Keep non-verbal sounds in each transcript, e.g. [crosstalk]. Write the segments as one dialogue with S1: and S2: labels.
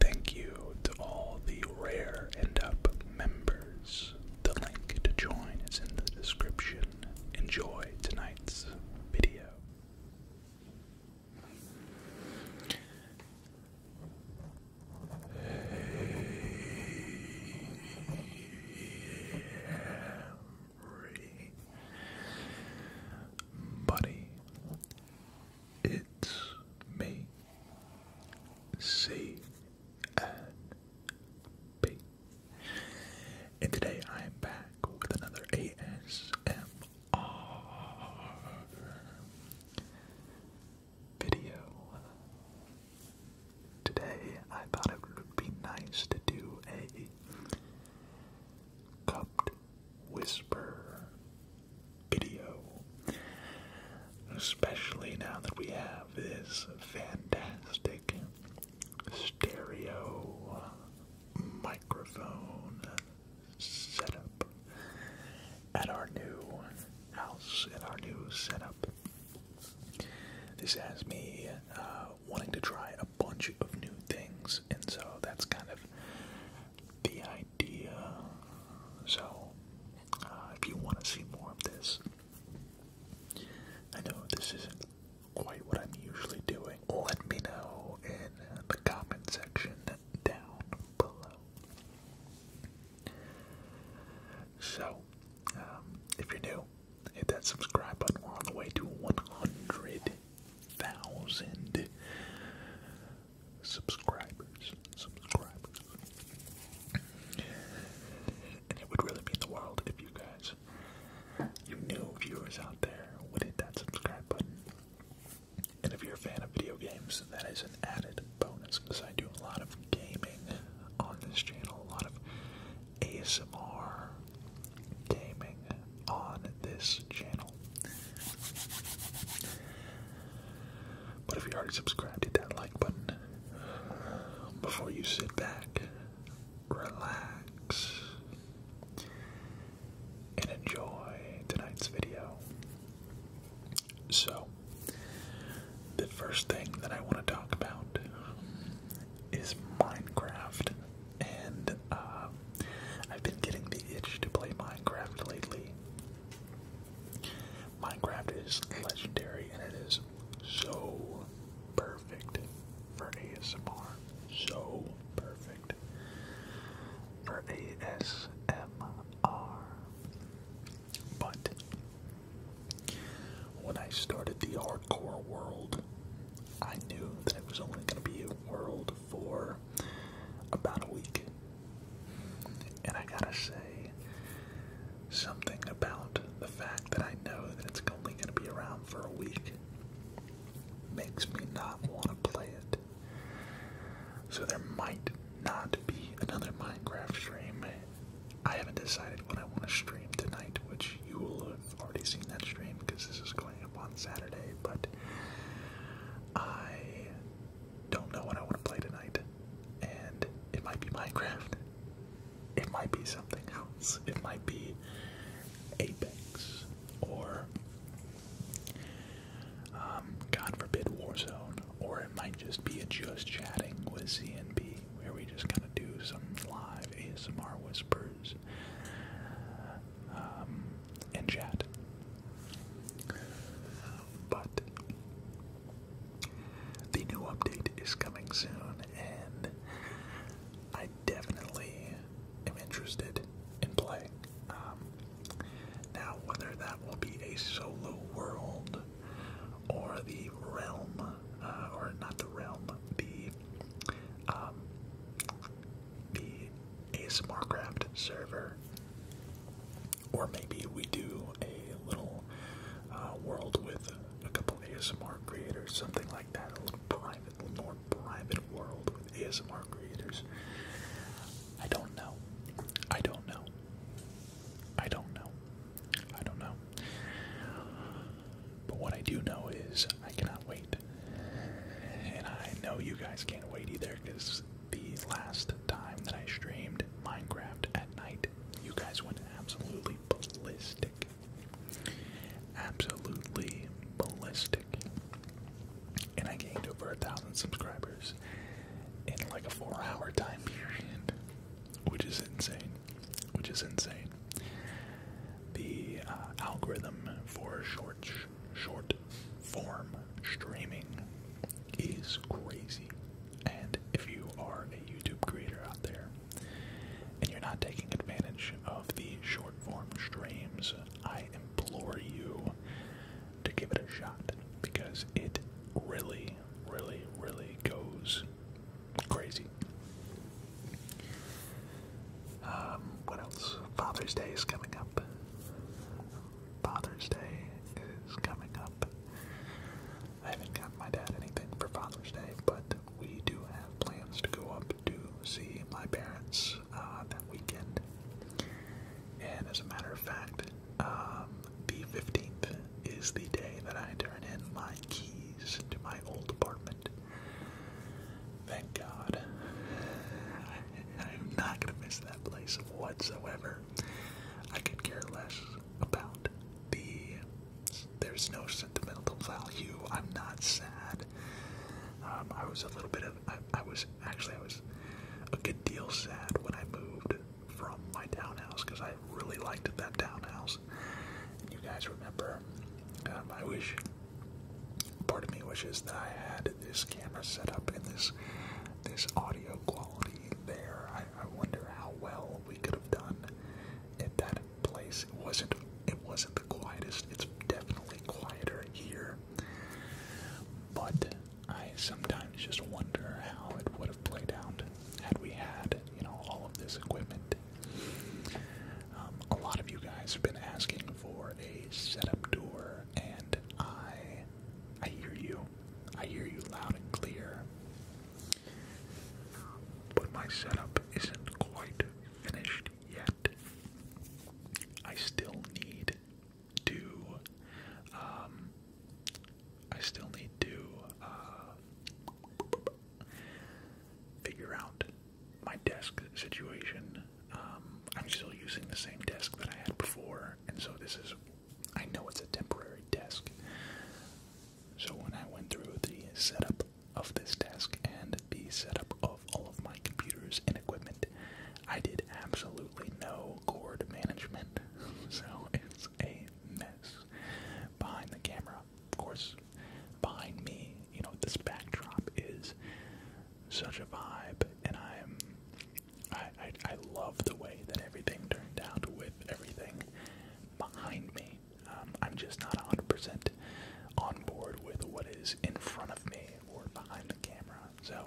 S1: Thank you to all the Rare end Up members. The link to join is in the description. Enjoy tonight's video. Hey, everybody. It's me, C and P. And today I am back with another ASMR video. Today I thought it would be nice to do a cup whisper video. Especially now that we have this fantastic stereo microphone setup at our new house, at our new setup. This has me uh, wanting to try a bunch of new things, and so that's kind of the idea. So, uh, if you want to see more of this, I know this isn't quite what I'm usually doing. Let me know in the comment section down below. So, um, if you're new, hit that subscribe button. We're on the way to 100,000 subscribers. Subscribers. And it would really mean the world if you guys, you new viewers out there, would hit that subscribe button. And if you're a fan of video games, that is an added bonus because I do a lot of gaming on this channel, a lot of ASMR gaming on this channel. But if you already subscribed, hit that like button. Before you sit back, relax, and enjoy tonight's video. So, the first thing that I want to talk about is Minecraft and uh, I've been getting the itch to play Minecraft lately. Minecraft is legendary and it is so perfect for ASMR. So perfect for ASMR. But when I started the hardcore world, I knew that it was only going to be a world for about a week. And I gotta say something about the fact that I know that it's only gonna be around for a week makes me not want to play it. So there might not be another Minecraft stream. I haven't decided what I want to stream tonight, which you will have already seen that stream because this is going up on Saturday, but I don't know what I want to play tonight. And it might be Minecraft. It might be something else. It might be Apex or um, God forbid Warzone. Or it might just be a just chatting with CNB where we just kind of do some live ASMR whispers. Um, and chat. But the new update is coming soon, and I definitely am interested in playing. Um, now, whether that will be a solo world or the realm, uh, or not the realm, the um, the ASMR Craft server, or maybe we do a little uh, world with a couple ASMR creators, something like that, a little private, a little more private world with ASMR creators. I don't know. I don't know. I don't know. I don't know. But what I do know is I cannot wait. And I know you guys can't wait either because the last time that I streamed Minecraft at night, you guys went absolutely ballistic. Absolutely ballistic. And I gained over a thousand subscribers in like a four hour time period, which is insane. Which is insane. The uh, algorithm for short short form streaming is crazy. And if you are a YouTube creator out there and you're not taking advantage of the short form streams, I implore you to give it a shot because it really, really, really goes crazy. Um, what else? Father's Day is coming up. Father's Day is coming up. I haven't gotten my dad anything for Father's Day, but we do have plans to go up to see my parents uh, that weekend. And as a matter of fact, um, the 15th is the day that I turn in my keys to my old apartment. Thank God. I'm not going to miss that place of whatsoever. I could care less about the. There's no sentimental value. I'm not sad. Um, I was a little bit of. I, was. Actually, I was a good deal sad when I moved from my townhouse because I really liked that townhouse. And you guys remember. my um, wish part of me wishes that I had this camera set up and this this audio quality there. I, I wonder how well we could have done at that place. It wasn't it wasn't the quietest. It's definitely quieter here. But I sometimes just wonder how it would have played out had we had, you know, all of this equipment. Um, a lot of you guys have been asking for a setup tour and I, I hear you. I hear you loud and clear. But my setup isn't quite finished yet. I still need to, um, I still need to, uh, figure out my desk situation um, I'm still using the same desk that I had before, and so this is, I know it's a temporary desk. So when I went through the setup of this desk and the setup of all of my computers and equipment, I did absolutely no cord management. [laughs] so it's a mess. Behind the camera, of course, behind me, you know, this backdrop is such a vibe, and I'm I, I love the way that everything turned out with everything behind me. Um, I'm just not 100% on board with what is in front of me or behind the camera. So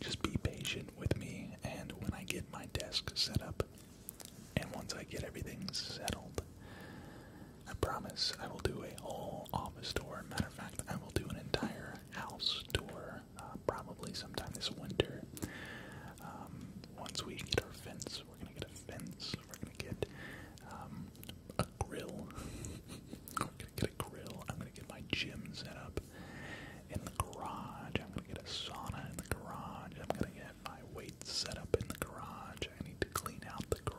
S1: just be patient with me, and when I get my desk set up, and once I get everything settled, I promise I will do a whole office tour. Matter of fact, I will do an entire house tour uh, probably sometime this winter. Um, once we get our fence, we're gonna get a fence. We're gonna get um, a grill. [laughs] we're gonna get a grill. I'm gonna get my gym set up in the garage. I'm gonna get a sauna in the garage. I'm gonna get my weights set up in the garage. I need to clean out the garage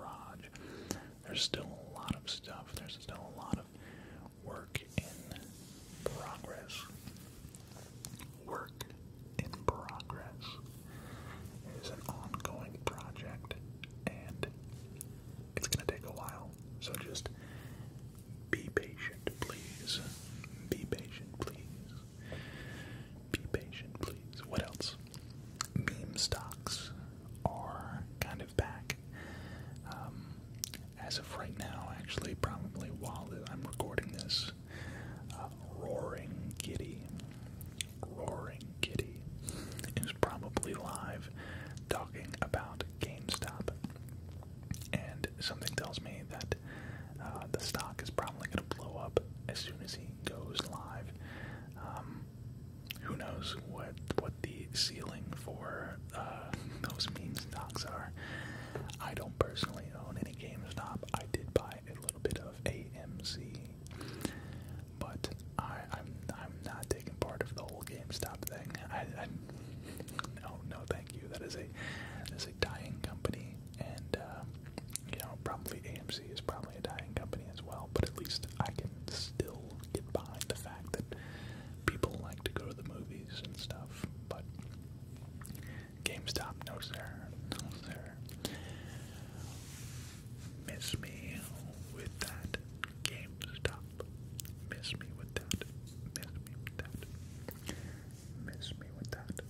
S1: there's still a lot of stuff. There's still a lot of work in progress. Work in progress is an ongoing project and it's going to take a while. So just be patient, please. Be patient, please. Be patient, please. What else? meme stocks are kind of back. Um, as of right now, actually, probably while I'm recording this, uh, Roaring Kitty, Roaring Kitty is probably live talking about GameStop. And something tells me that uh, the stock is probably going to blow up as soon as he goes live. Um, who knows what what the ceiling for uh, those meme stocks are. I don't personally own any GameStop. I did buy a little bit of AMC, but I, I'm I'm not taking part of the whole GameStop thing. I, I no no thank you. That is a that is a dying company, and uh, you know probably AMC is probably a dying company as well. But at least I can still will get behind the fact that people like to go to the movies and stuff, but GameStop, no sir, no sir. Miss me with that GameStop. Miss me with that. Miss me with that. Miss me with that.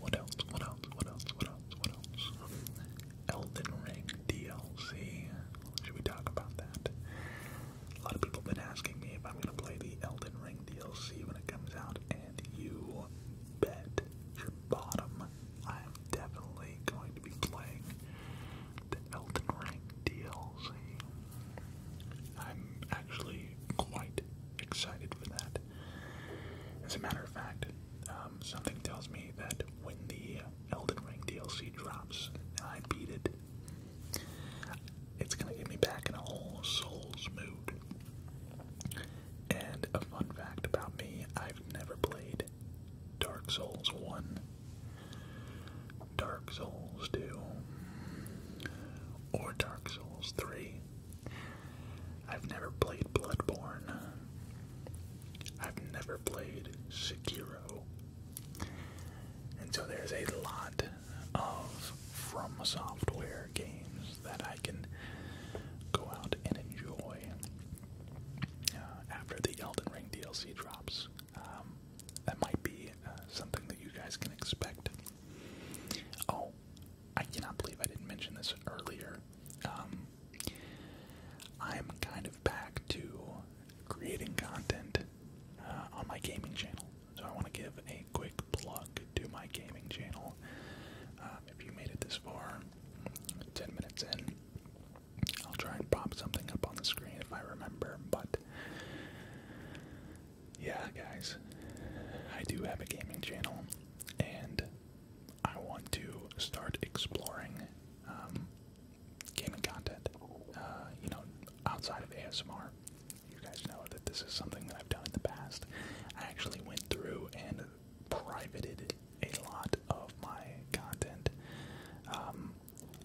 S1: What else? What else? What else? What else? What else? Elden Ring DLC. Should we talk about that? A lot of people have been asking me if I'm gonna play the Elden Ring DLC when it comes out, and you bet your bottom I'm definitely going to be playing the Elden Ring DLC. I'm actually quite excited for that. As a matter of fact, um, something tells me that when the Elden Ring DLC drops I beat it, it's gonna get me back in a whole Souls mood. And a fun fact about me, I've never played Dark Souls 1, Dark Souls 2, or Dark Souls 3. I've never played Bloodborne. I've never played Sekiro. And so there's a lot of From Software games that I can go out and enjoy uh, after the Elden Ring DLC drops. Um, that might be uh, something that you guys can expect. Oh, I cannot believe I didn't mention this earlier. Um, I'm kind of back to creating content uh, on my gaming channel. So I want to give a quick plug to my gaming channel. Um, if you made it this far, 10 minutes in, I'll try and pop something up on the screen if I remember. But yeah, guys, I do have a gaming channel, and I want to start exploring um, gaming content, uh, you know, outside of ASMR. You guys know that this is something that I've done in the past. I actually went through and privated a lot of my content, um,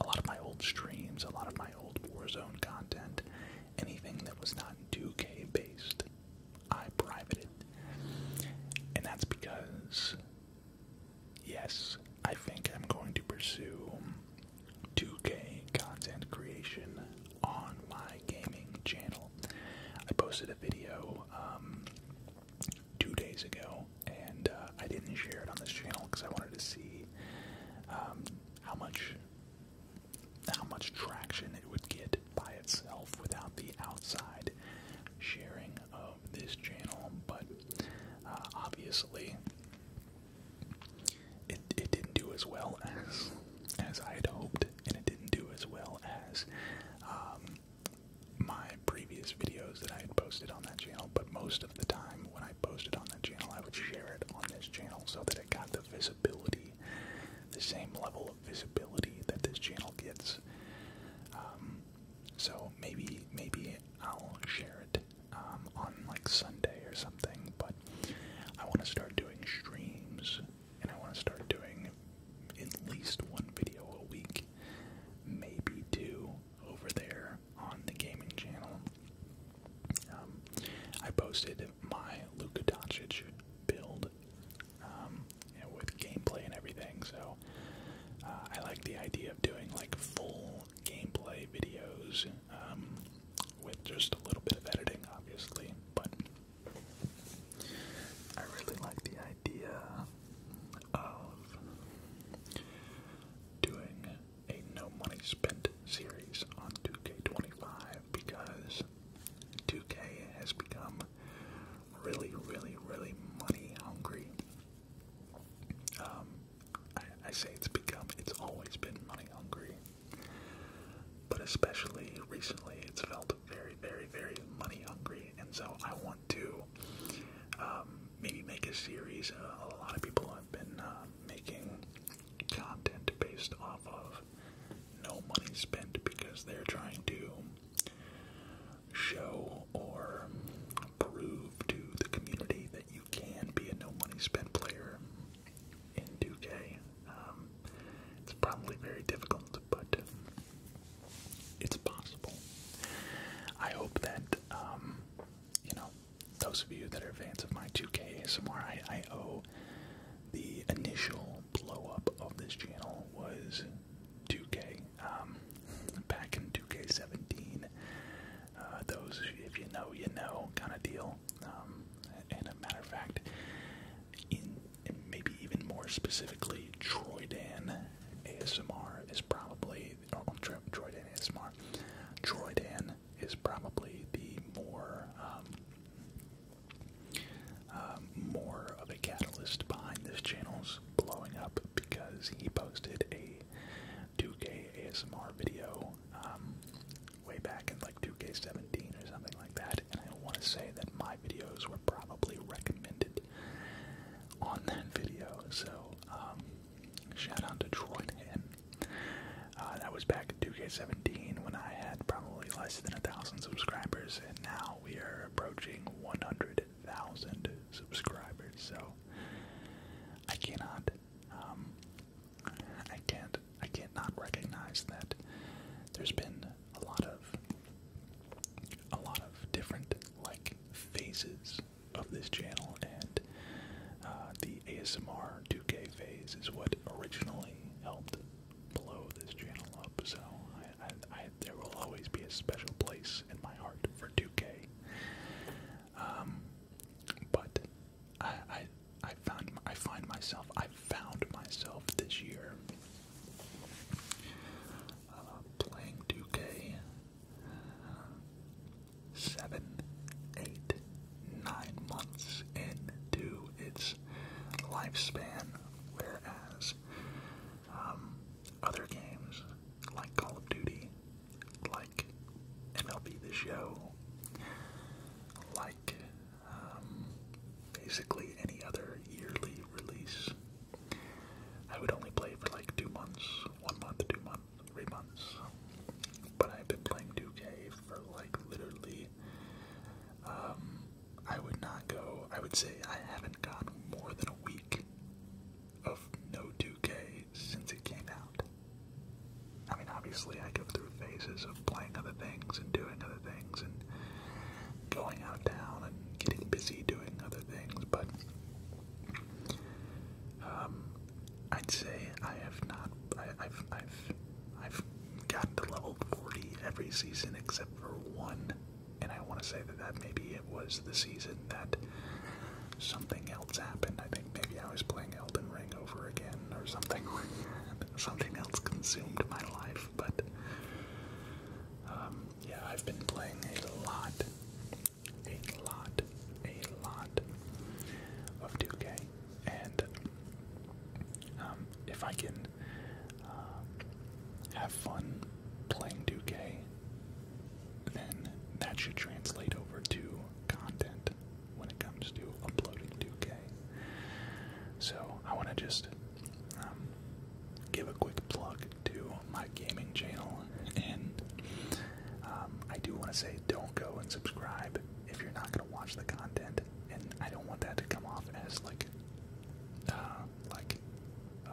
S1: a lot of my old streams, a lot of my old Warzone content, anything that was not 2K based. I privated. And that's because, yes, I think I'm going to pursue 2K content creation on my gaming channel. I posted a video um, two days ago, and uh, I didn't share it on this channel because I wanted to see um, how much how much traction it would get by itself without the outside sharing of this channel, but uh, obviously it, it didn't do as well as as I had hoped, and it didn't do as well as um, my previous videos that I had posted on that channel. But most of the time, when I posted on that channel, I would share it on this channel so that it got the visibility, the same level visibility that this channel gets. Um, so maybe maybe I'll share it um, on like Sunday or something. But I want to start doing streams, and I want to start doing at least one video a week, maybe two over there on the gaming channel. Um, I posted my Luka Doncic build um, with gameplay and everything. So uh, I like the idea of doing like full gameplay videos um, with just a little bit of editing, obviously. But I really like the idea of doing a no money spent series on 2K25 because 2K has become really, really, really money hungry. Um, I, say it's become, it's always been money hungry, but especially recently, it's felt very, very, very money hungry, and so I want to um, maybe make a series. Uh, a lot of people have been uh, making content based off of no money spent because they're trying to show or prove to the community that you can be a no money spent player in 2K. Um, it's probably very difficult, but it's possible. I hope that, um, you know, those of you that are fans of my 2K ASMR, I, I the initial blowup of this channel was 2K. Um, back in 2K17, uh, those if you know, you know kind of deal. Um, and a matter of fact, in maybe even more specifically, Troydan ASMR is probably or oh, Tro Troydan ASMR. Troydan is probably the more um, um, more of a catalyst behind this channel's blowing up because he posted a 2K ASMR video um, way back in like 2K17 or something like that, and I want to say that my videos were probably recommended on that video. So um, shout out to Troy Hen. Uh, that was back in 2K17 when I had probably less than a thousand subscribers, and now we are approaching 100,000 subscribers. So I cannot, um, I can't, I can not recognize that there's been a lot of, a lot of different like phases of this channel, and uh, the ASMR 2K phase is what originally helped blow this channel up. So there will always be a special place in my heart for 2K. Um, but I, I, found I find myself I found myself this year uh, playing 2K. Uh, seven, eight, nine months into its lifespan, Whereas um, other games like Call of Duty, like MLB The Show, like um, basically any other yearly release, I would only play for like two months, one month, two months, three months. But I've been playing 2K for like literally um, I would not go, I would say I haven't gone more than a week of no 2K since it came out. I mean, obviously, I go through phases of playing other things and doing other things and going out of town and getting busy doing other things, but um, I'd say I have not, I, have I've I've gotten to level 40 every season except for one, and I want to say that that maybe it was the season that something else happened. I think maybe I was playing Elden Ring over again or something. something else consumed my life, but um, yeah, I've been playing a lot, a lot, a lot of 2K, and um, if I can um, have fun playing 2K, then that should translate over to content when it comes to uploading 2K. So I want to just um, give a quick plug to my gaming channel, and um, I do want to say don't go and subscribe if you're not going to watch the content, and I don't want that to come off as like uh, like uh,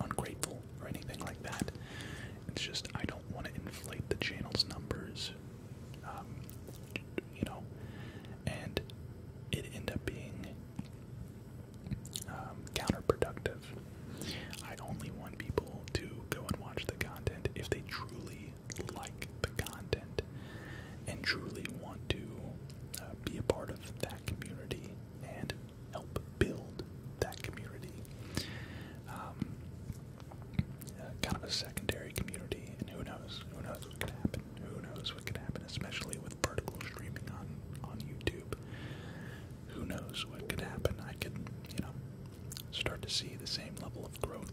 S1: ungrateful or anything like that. It's just I don't want to inflate the channel's numbers, um, you know, and it end up being um, counterproductive. I only want people to go and watch the content if they truly like the content and truly want to uh, be a part of that community and help build that community. Um, uh, kind of a secondary community, and who knows? Who knows what could happen? Who knows what could happen, especially with vertical streaming on on YouTube. Who knows what could happen? I could, you know, start to see the same level of growth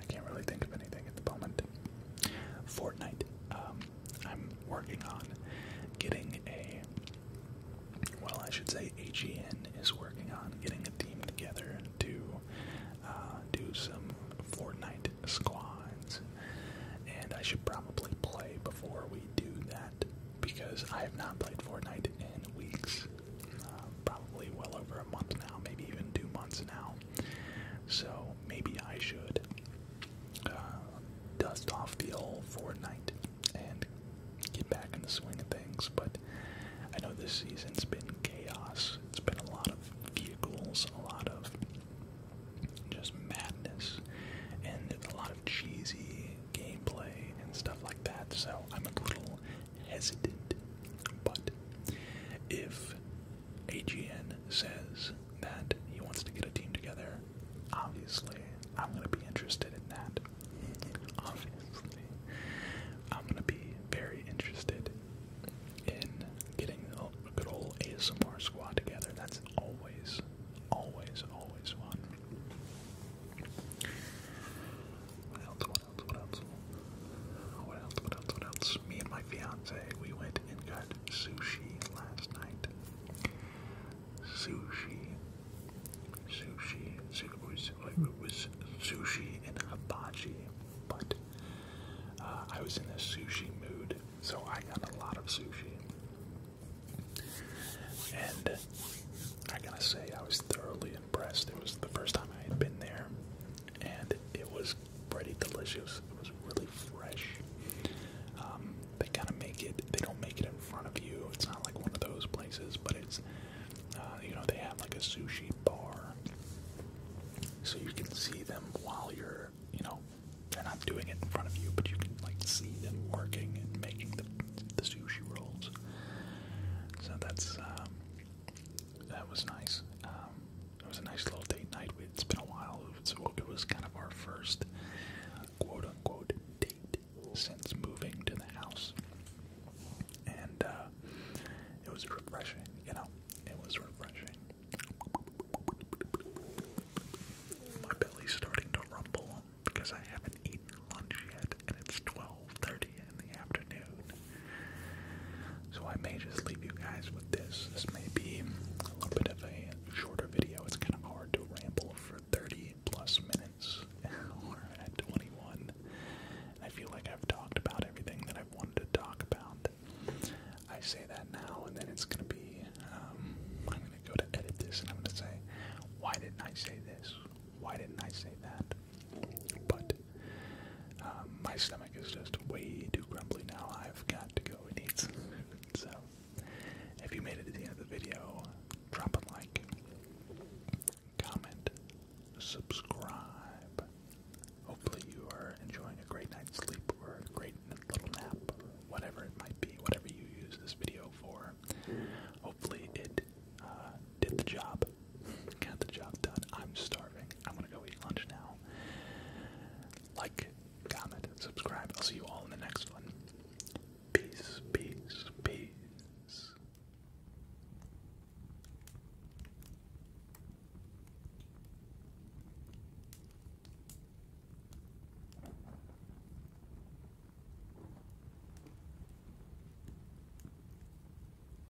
S1: I can't really think of anything at the moment. Fortnite. Um, I'm working on getting a. Well, I should say AGN is working on getting a team together to uh, do some Fortnite squads, and I should probably play before we do that because I have not played Fortnite in weeks, uh, probably well over a month now, maybe even two months now. So maybe I should uh, dust off the old Fortnite and get back in the swing of things. But I know this season's been chaos. It's been a lot of vehicles, a lot of just madness, and a lot of cheesy gameplay and stuff like that. So I'm a little hesitant. But if AGN says that he wants to get a team together. Obviously, I'm going to be interested in that. [laughs] Obviously, I'm going to be very interested in getting a good old ASMR squad together. That's always, always, always one what else, what else? What else, what else, Me and my fiance, we went and got sushi last night. Sushi. Sushi. Sushi. It was sushi and habachi, but uh, I was in a sushi mood, so I got a lot of sushi. And I gotta say, I was thoroughly impressed. It was the first time I had been there, and it was pretty delicious. It was really fresh. Um, they kind of make it. They don't make it in front of you. It's not like one of those places, but it's uh, you know they have like a sushi bar, so you can see them while you're you know they're not doing it in front of you, but you can like see them working and making the the sushi rolls. So that's um, that was nice. Um, it was a nice little date night. It's been a while, so it was kind of our first quote unquote date since moving to the house. And uh, it was refreshing, you know, it was refreshing. My belly's starting to rumble because I haven't eaten lunch yet and it's 12.30 in the afternoon. So I may just leave you guys with this. This may be a little bit of a shorter video. It's kind of hard to ramble for 30 plus minutes. we [laughs] at 21. I feel like I've talked about everything that i wanted to talk about. I say that now, and then it's going to be. Um, I'm going to go to edit this, and I'm going to say, why didn't I say this? Why didn't I say that? But um, my stomach is just way too grumbly now. I've got to go and eat some [laughs] So if you made it to the end of the video, drop a like, comment, subscribe. Hopefully you are enjoying a great night's sleep or a great little nap whatever it might be, whatever you use this video for. Hopefully it uh, did the job Got the job done. I'm starving. I'm gonna go eat lunch now. Like, comment, subscribe. I'll see you all in the next one. Peace, peace, peace.